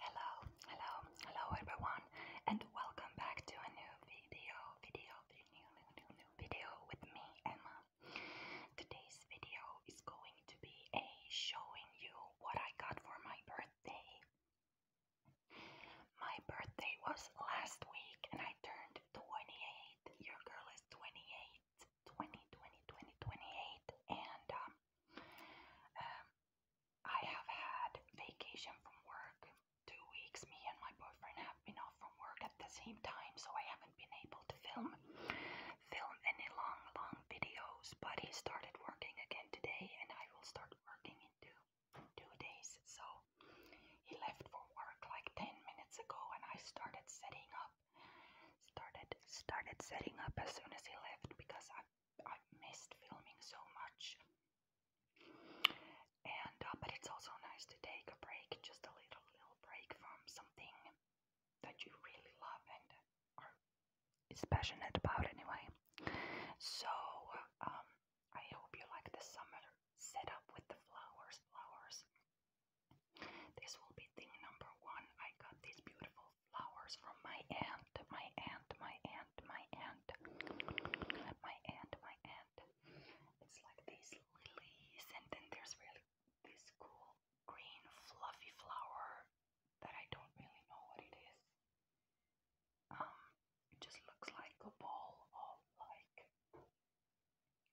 Hello, hello, hello everyone, and welcome back to a new video, video, video, video with me, Emma. Today's video is going to be a showing you what I got for my birthday. My birthday was last week, and I turned 28. Your girl is 28. 20, 20, 20, 28, and um, um I have had vacation from work. Two weeks, me and my boyfriend have been off from work at the same time, so I haven't been able to film film any long, long videos. But he started working again today, and I will start working in two two days. So he left for work like ten minutes ago, and I started setting up started started setting up as soon as he left because I've I've missed filming so much. And uh, but it's also nice to take a break, just a little little break from something that you really love and are passionate about anyway. So um, I hope you like the summer setup with the flowers, flowers. This will be thing number one. I got these beautiful flowers from my aunt, my aunt, my aunt, my aunt, my aunt, my aunt. It's like these lilies, and then there's really this cool green fluffy flower that I don't really know what it is. Um, it just looks like a ball of like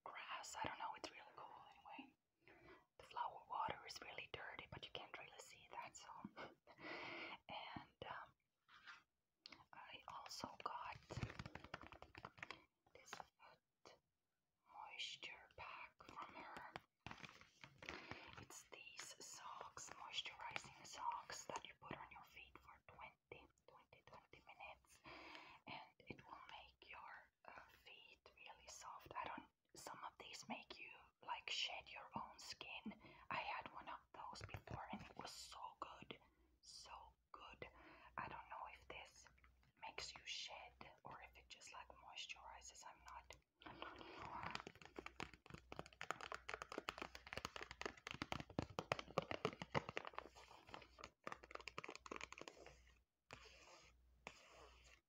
grass. I don't know. It's really cool anyway the flower water is really dirty, but you can't really see that. So, and um, I also got this foot moisture pack from her. It's these socks, moisturizing socks that you put on your feet for 20, 20, 20 minutes, and it will make your uh, feet really soft. I don't some of these make you like shed your own skin. I had one of those before and it was so good. So good. I don't know if this makes you shed or if it just like moisturizes. I'm not I'm not sure. So I,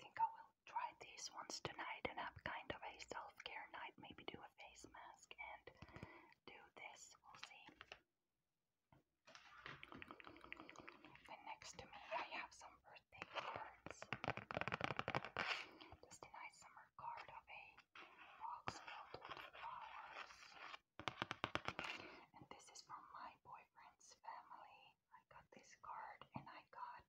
think I will try these ones tonight and have kind of a self-care night. Maybe do a face mask and do this. We'll see next to me, I have some birthday cards. Just a nice summer card of a box filled with flowers. And this is from my boyfriend's family. I got this card and I got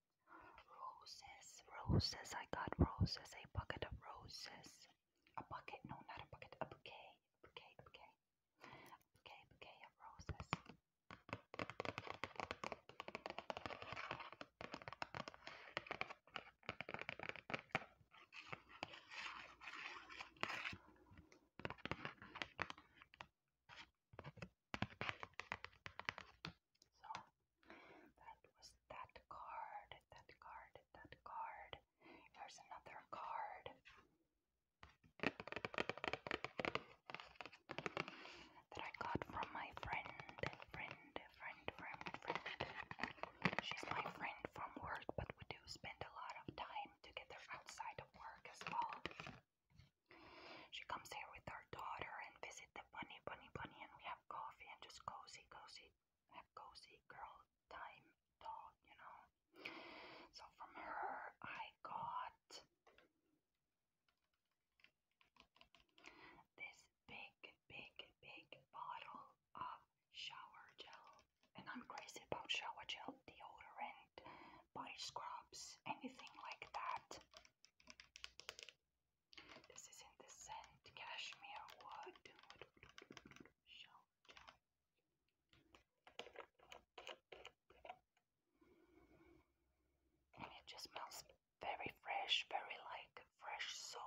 roses. Roses. I got roses. A bucket of roses a bucket, no, not a bucket, a bouquet, bouquet, bouquet, bouquet, bouquet of roses. So that was that card, that card that card. Here's another card. That I got from my friend, friend, friend, friend, friend. She's my friend from work, but we do spend a lot of time together outside of work as well. She comes here with her daughter and visit the bunny, bunny, bunny, and we have coffee and just cozy, cozy have cozy girl time dog. you know. So from her, I got this big, big, big bottle of shower gel. And I'm crazy about shower gel, deodorant, body scrubs, anything like that. This is in the scent cashmere wood. Shower gel. And it just smells very fresh, very like fresh soap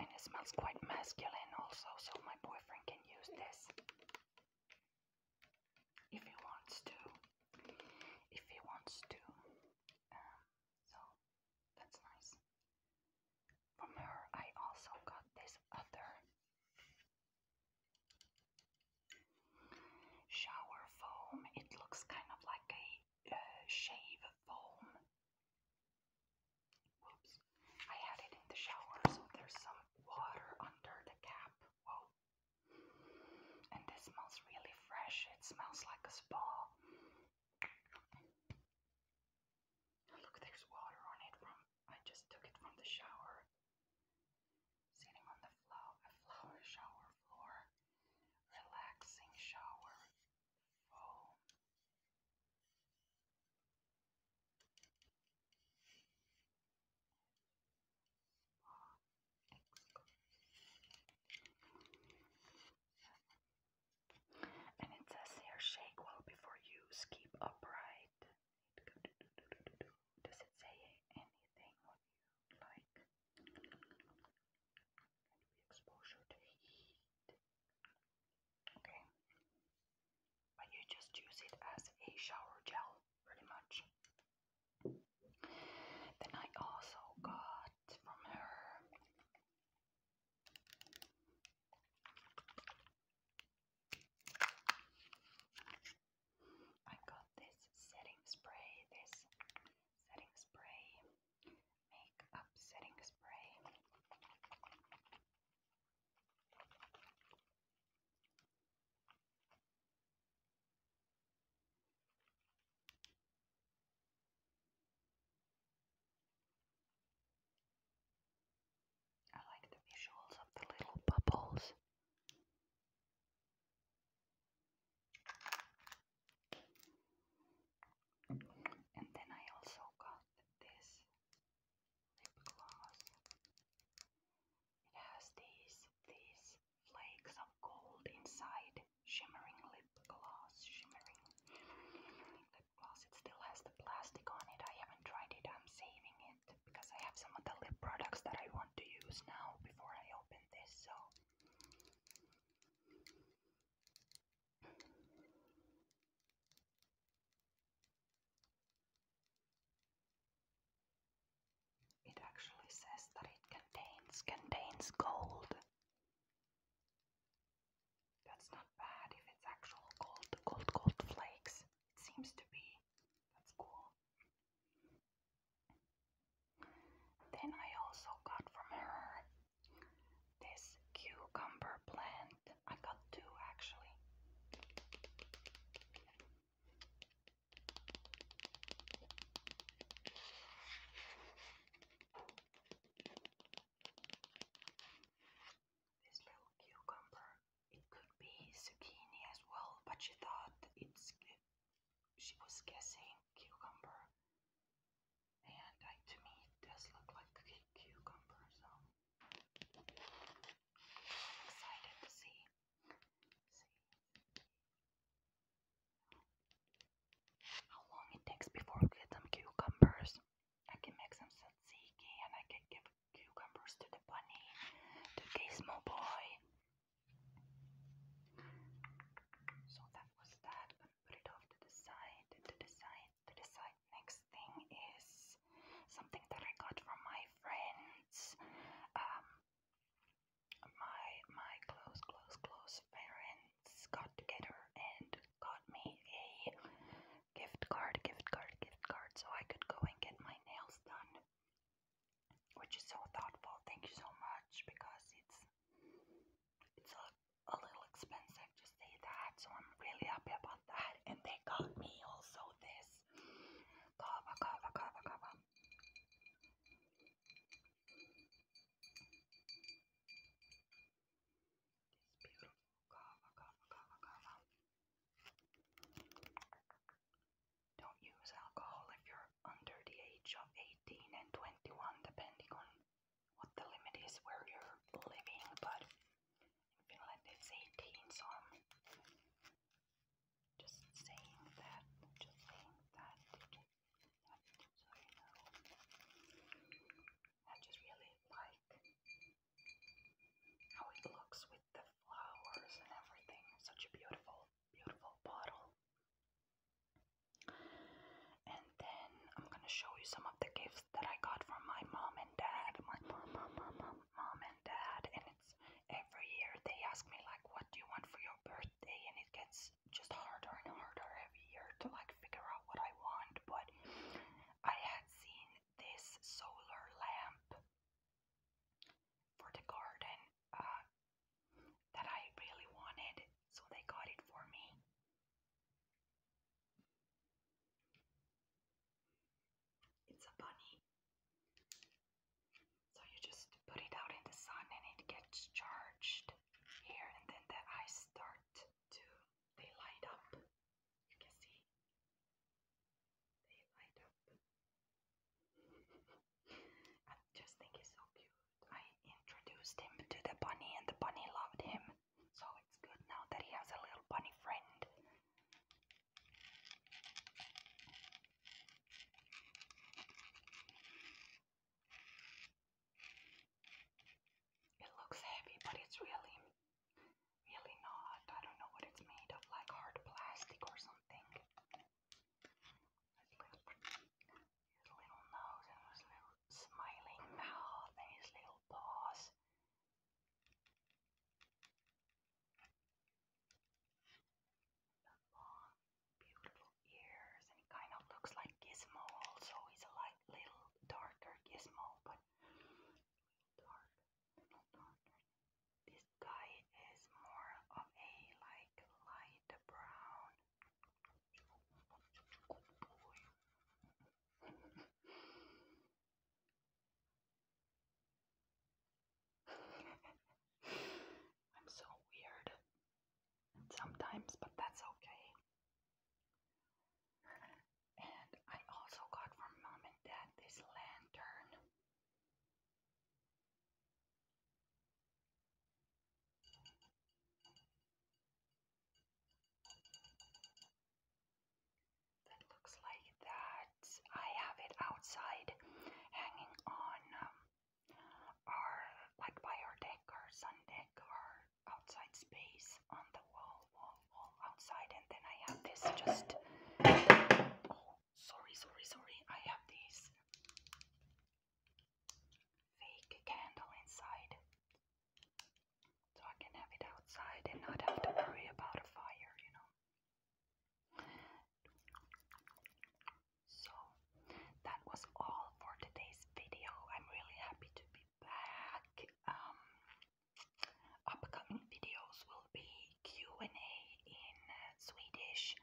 and it smells quite masculine also, so my boyfriend can use this if he wants to. If he wants to. Um, so that's nice. From her, I also got this other shower foam. It looks kind of like a shave foam. Whoops. I had it in the shower, so there's some water under the cap. Whoa. And it smells really fresh. It smells like a spa. Look, there's water on it from I just took it from the shower. Sitting on the flower shower floor. Relaxing shower foam. And it says here shake well before use, keep upright. Does it say anything what you like? Can be exposure to heat. Okay. But you just use it as a shower gel, pretty much. Then I also got from her I got this setting spray, this setting spray makeup setting spray. I like the visuals of the little bubbles. And then I also got this lip gloss. It has these these flakes of gold inside, shimmering lip gloss, shimmering, shimmering lip gloss. It still has the plastic on it. I haven't tried it. I'm saving it because I have some of the lip products that I want to use now before I open this. So it actually says that it contains contains gold. That's not bad if it's actual gold, gold, gold flakes. It seems to be. That's cool. Then I also got from her this cucumber plant, I got two actually. This little cucumber, it could be zucchini as well, but she thought it's she was guessing cucumber. And like, to me, this look like cucumber, so I'm excited to see. see how long it takes before we get some cucumbers. I can make some tzatziki and I can give cucumbers to the bunny, to Gizmo Boy. So that was that. I'm gonna put it off to the side, to the side. Next thing is something that I got from my friends. Um, my my close close close parents got together and got me a gift card, gift card, gift card, so I could go and get my nails done. Which is so thoughtful. Thank you so much because it's it's a a little expensive to say that, so I'm really happy about that. And they got me also this kava, kava, kava, kava. This beautiful kava, Don't use alcohol if you're under the age of 18 and 21, depending on what the limit is where you're living, but in Finland it's 18, so I'm just saying that, just saying that, that I just really like how it looks with the flowers and everything, such a beautiful, beautiful bottle. And then I'm going to show you some of the gifts that I got from my mom and dad. My mom, mom, mom, mom, mom and dad. And it's every year they ask me, like, what do you want for your birthday? And it gets just harder and harder every year to, like, figure out what I want. But I had seen this solar lamp for the garden uh, that I really wanted, so they got it for me. It's a bunny. So you just put it out in the sun and it gets charged here and then the eyes start to they light up. You can see. They light up. I just think it's so cute. I introduced him to the bunny and the bunny loved him. So it's good now that he has a little bunny friend. It looks heavy, but it's really, really not. I don't know what it's made of, like hard plastic or something his little nose and his little smiling mouth and his little paws. The long, beautiful ears, and he kind of looks like Gizmo also. He's a light, little darker Gizmo, but This guy is more of a like light brown I'm so weird sometimes, but that's okay. And I also got from mom and dad this lantern. That looks like that. I have it outside hanging on um, our, like by our deck or sun deck or outside space on the wall, wall, wall outside. And then I have this just, oh, sorry, sorry, sorry. I have these fake candle inside so I can have it outside and not have to worry about a fire, you know. So, that was all for today's video. I'm really happy to be back. Um, upcoming videos will be Q&A in uh, Swedish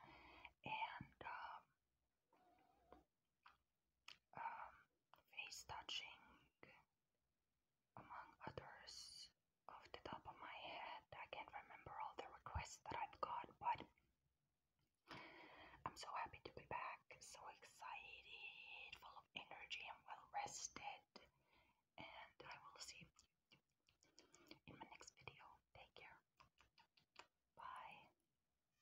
and um, um, face touching, among others. Off the top of my head, I can't remember all the requests that I've got, but I'm so happy to be back, so excited, full of energy, and well rested. And I will see you in my next video. Take care. Bye.